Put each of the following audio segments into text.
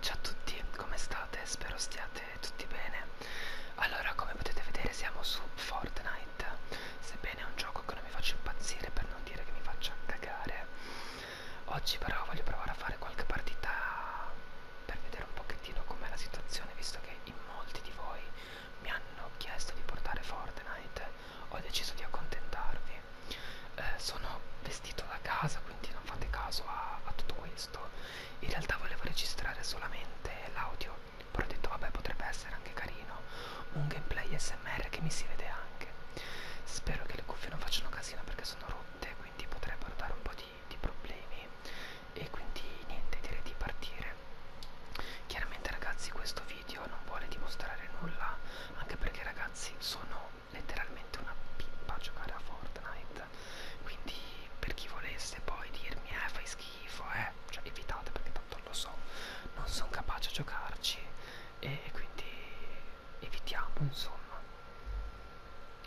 Ciao a tutti, come state? Spero stiate tutti bene. Allora, come potete vedere siamo su Fortnite, sebbene è un gioco che non mi faccia impazzire per non dire che mi faccia cagare. Oggi però voglio provare a fare qualche partita per vedere un pochettino com'è la situazione, visto che in molti di voi mi hanno chiesto di portare Fortnite, ho deciso di accontentarvi eh, sono vestito da casa quindi non fate caso a, a tutto questo in realtà volevo registrare solamente l'audio però ho detto vabbè potrebbe essere anche carino un gameplay smr che mi si vede anche spero che le cuffie non facciano casino perché sono rotte quindi potrebbero dare un po' di, di problemi e quindi niente direi di partire chiaramente ragazzi questo video non vuole dimostrare nulla anche perché ragazzi sono letteralmente una pippa giocare a Fortnite quindi per chi volesse poi dirmi eh fai schifo eh cioè evitate perché tanto lo so non sono capace a giocarci e quindi evitiamo insomma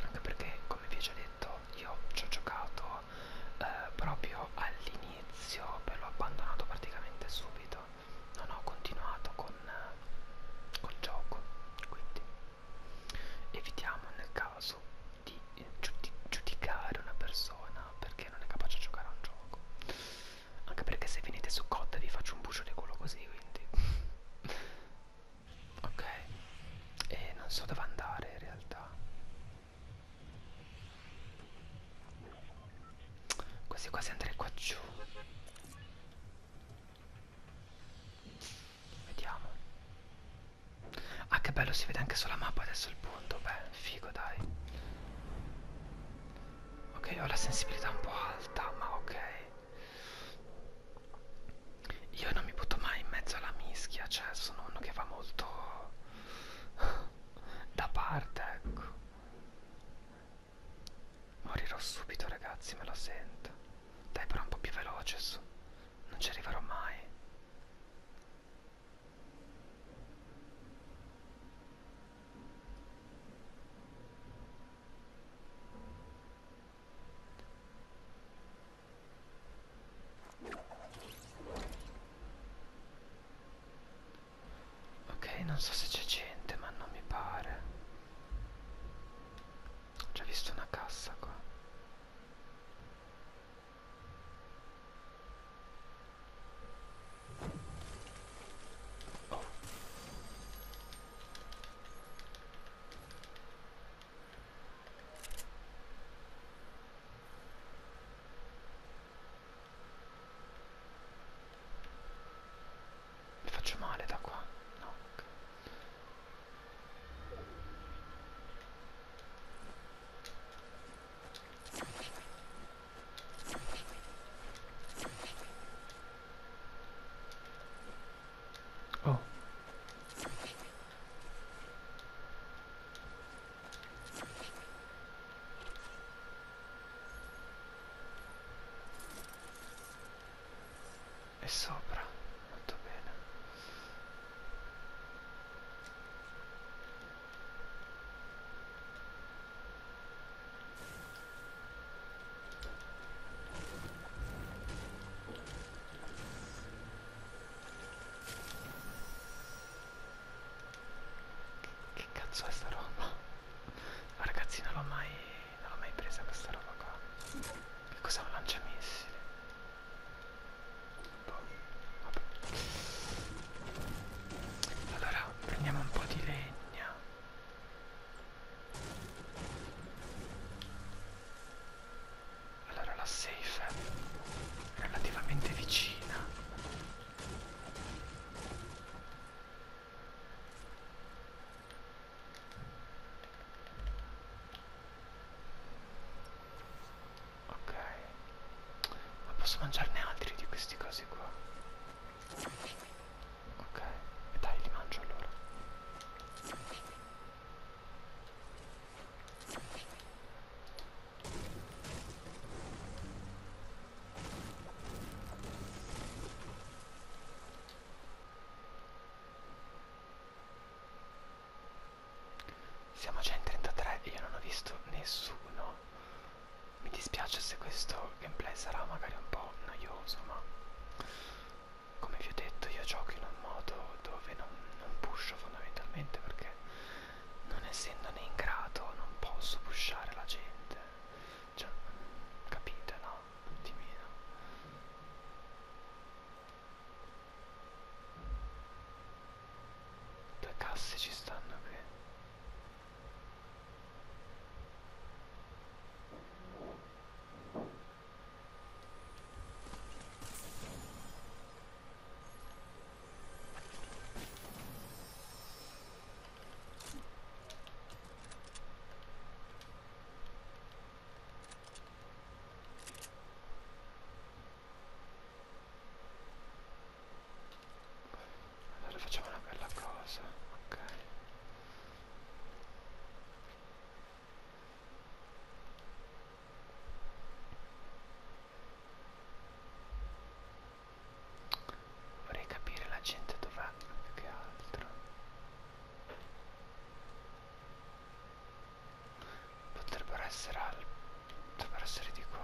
anche perché come vi ho già detto io ci ho giocato eh, proprio all'inizio però l'ho abbandonato praticamente subito non ho continuato con eh, col gioco quindi evitiamo nel caso di giudicare una persona perché non è capace a giocare a un gioco anche perché se venite su cotta vi faccio un bucio di culo così quindi ok e non so dove andare in realtà quasi quasi andrei qua giù Vediamo. Ah che bello, si vede anche sulla mappa adesso il punto. Beh, figo dai. Ok, ho la sensibilità un po' alta, ma ok. Io non mi butto mai in mezzo alla mischia, cioè sono uno che va molto da parte, ecco. Morirò subito ragazzi, me la sento. Dai però un po' più veloce su. Non ci arriverò mai. Ok, non so se c'è gente, ma non mi pare. Ho già visto una cassa qua. Oh. Mi faccio male da qua? No. Okay. Oh e sopra molto bene che, che cazzo è sta roba? La ragazzina l'ho mai non l'ho mai presa questa roba qua che cos'è un lanciamissile? Boh, vabbè allora prendiamo un po' di legna allora la safe è relativamente vicina Ok. Ma posso mangiarne altri di questi cosi qua? Ok. E dai, li mangio allora. Siamo già in 33 e io non ho visto nessuno. Mi dispiace se questo gameplay sarà magari un po' noioso, ma come vi ho detto io gioco in un modo dove non, non pusho fondamentalmente perché non essendo né in grado non posso pushare la gente cioè capite no un attimino due casse ci stanno qui allora facciamo una bella cosa, ok. Vorrei capire la gente dov'è più che altro potrebbero essere al... potrebbero essere di qua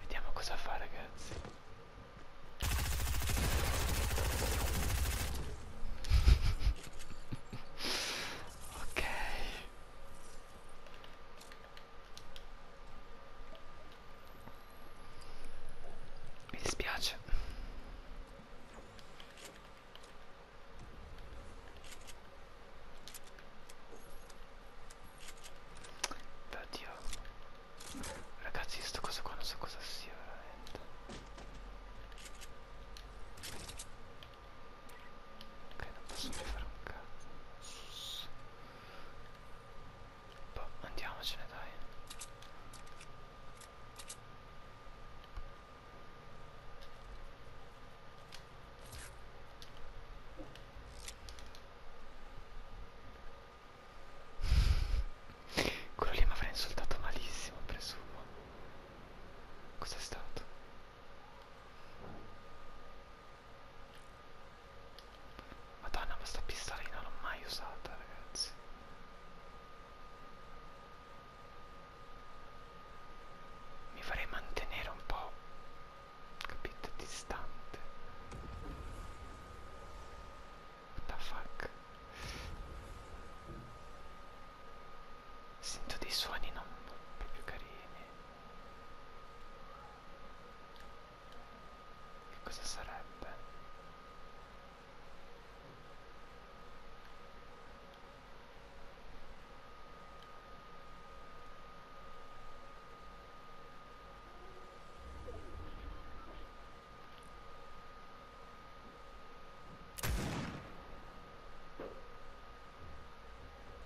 Vediamo cosa fa ragazzi. ok. Mi dispiace. Oddio. Ragazzi, sto cosa qua non so cosa sia veramente. Ok, non posso più fare un cazzo. Boh, andiamocene dai. Quello lì mi avrà insultato malissimo, presumo. Cos'è stato? Madonna, ma sta pistolina l'ho mai usata, ragazzi. Mi farei mantenere un po', capito, distante. What the fuck? Sento dei suoni non proprio carini. Che cosa sarebbe?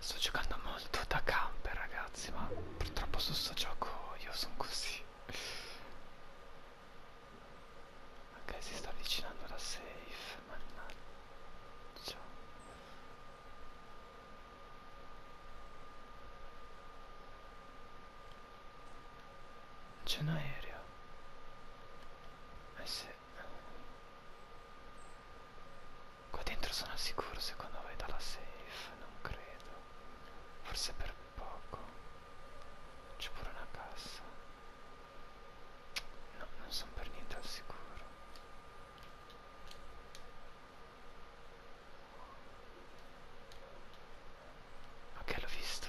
Sto giocando molto da camper ragazzi ma purtroppo su sto gioco io sono così Ok si sta avvicinando la safe Mannaggia C'è un aereo Eh sì Qua dentro sono al sicuro se quando vai dalla safe, non credo. Forse per poco. C'è pure una cassa. No, non sono per niente al sicuro. Ok, l'ho visto.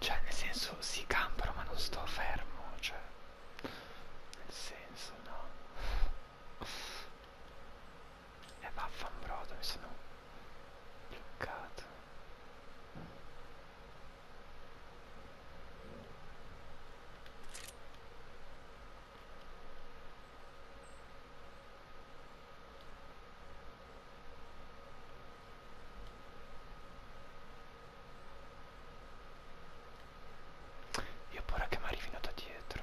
Cioè nel senso si campano ma non sto fermo, cioè nel senso no. E eh, vaffanbrodo, mi sono bloccata io ho paura che mi arrivino da dietro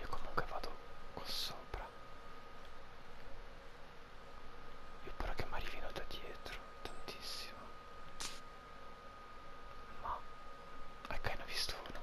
io comunque vado qua sopra io spero che mi arrivino da dietro tantissimo ma ecco ne ho visto uno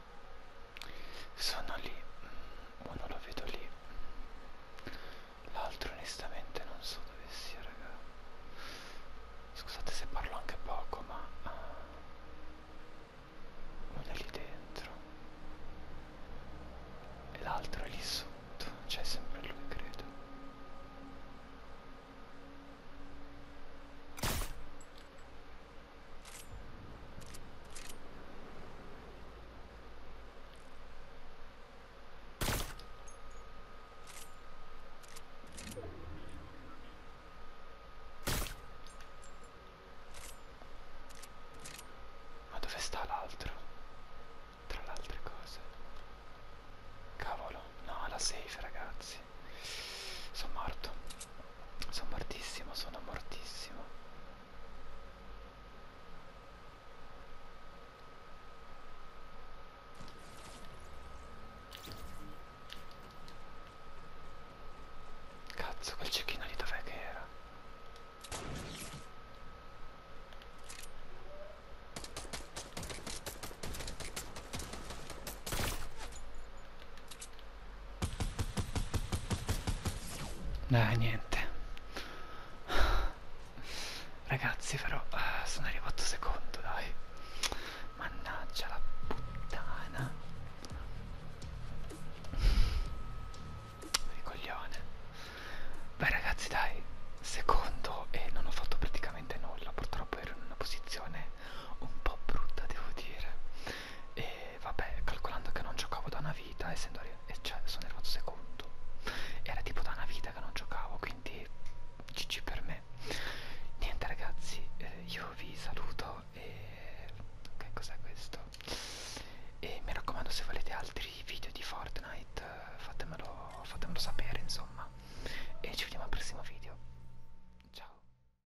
sono lì uno mm, lo vedo lì l'altro onestamente non so dove sia raga scusate se parlo anche poco ma uh, eh, uno è lì dentro e l'altro è lì sotto c'è cioè, sempre lui credo ma dove sta l'altro? Tra le altre cose. Cavolo, no, la safe ragazzi. Sono morto. Sono mortissimo, sono mortissimo. Cazzo, quel cecchino lì dov'è che era? Dai, niente. Ragazzi, però, eh, sono arrivato secondo, dai. Mannaggia la puttana. Ricoglione. Beh, ragazzi, dai. Secondo e non ho fatto praticamente nulla. Purtroppo ero in una posizione un po' brutta, devo dire. E e vabbè calcolando che non giocavo da una vita essendo e cioè, sono arrivato secondo era tipo da una vita che non giocavo quindi gg per me niente ragazzi eh, io vi saluto e che cos'è questo e mi raccomando se volete altri video di Fortnite fatemelo, fatemelo sapere insomma e ci vediamo al prossimo video ciao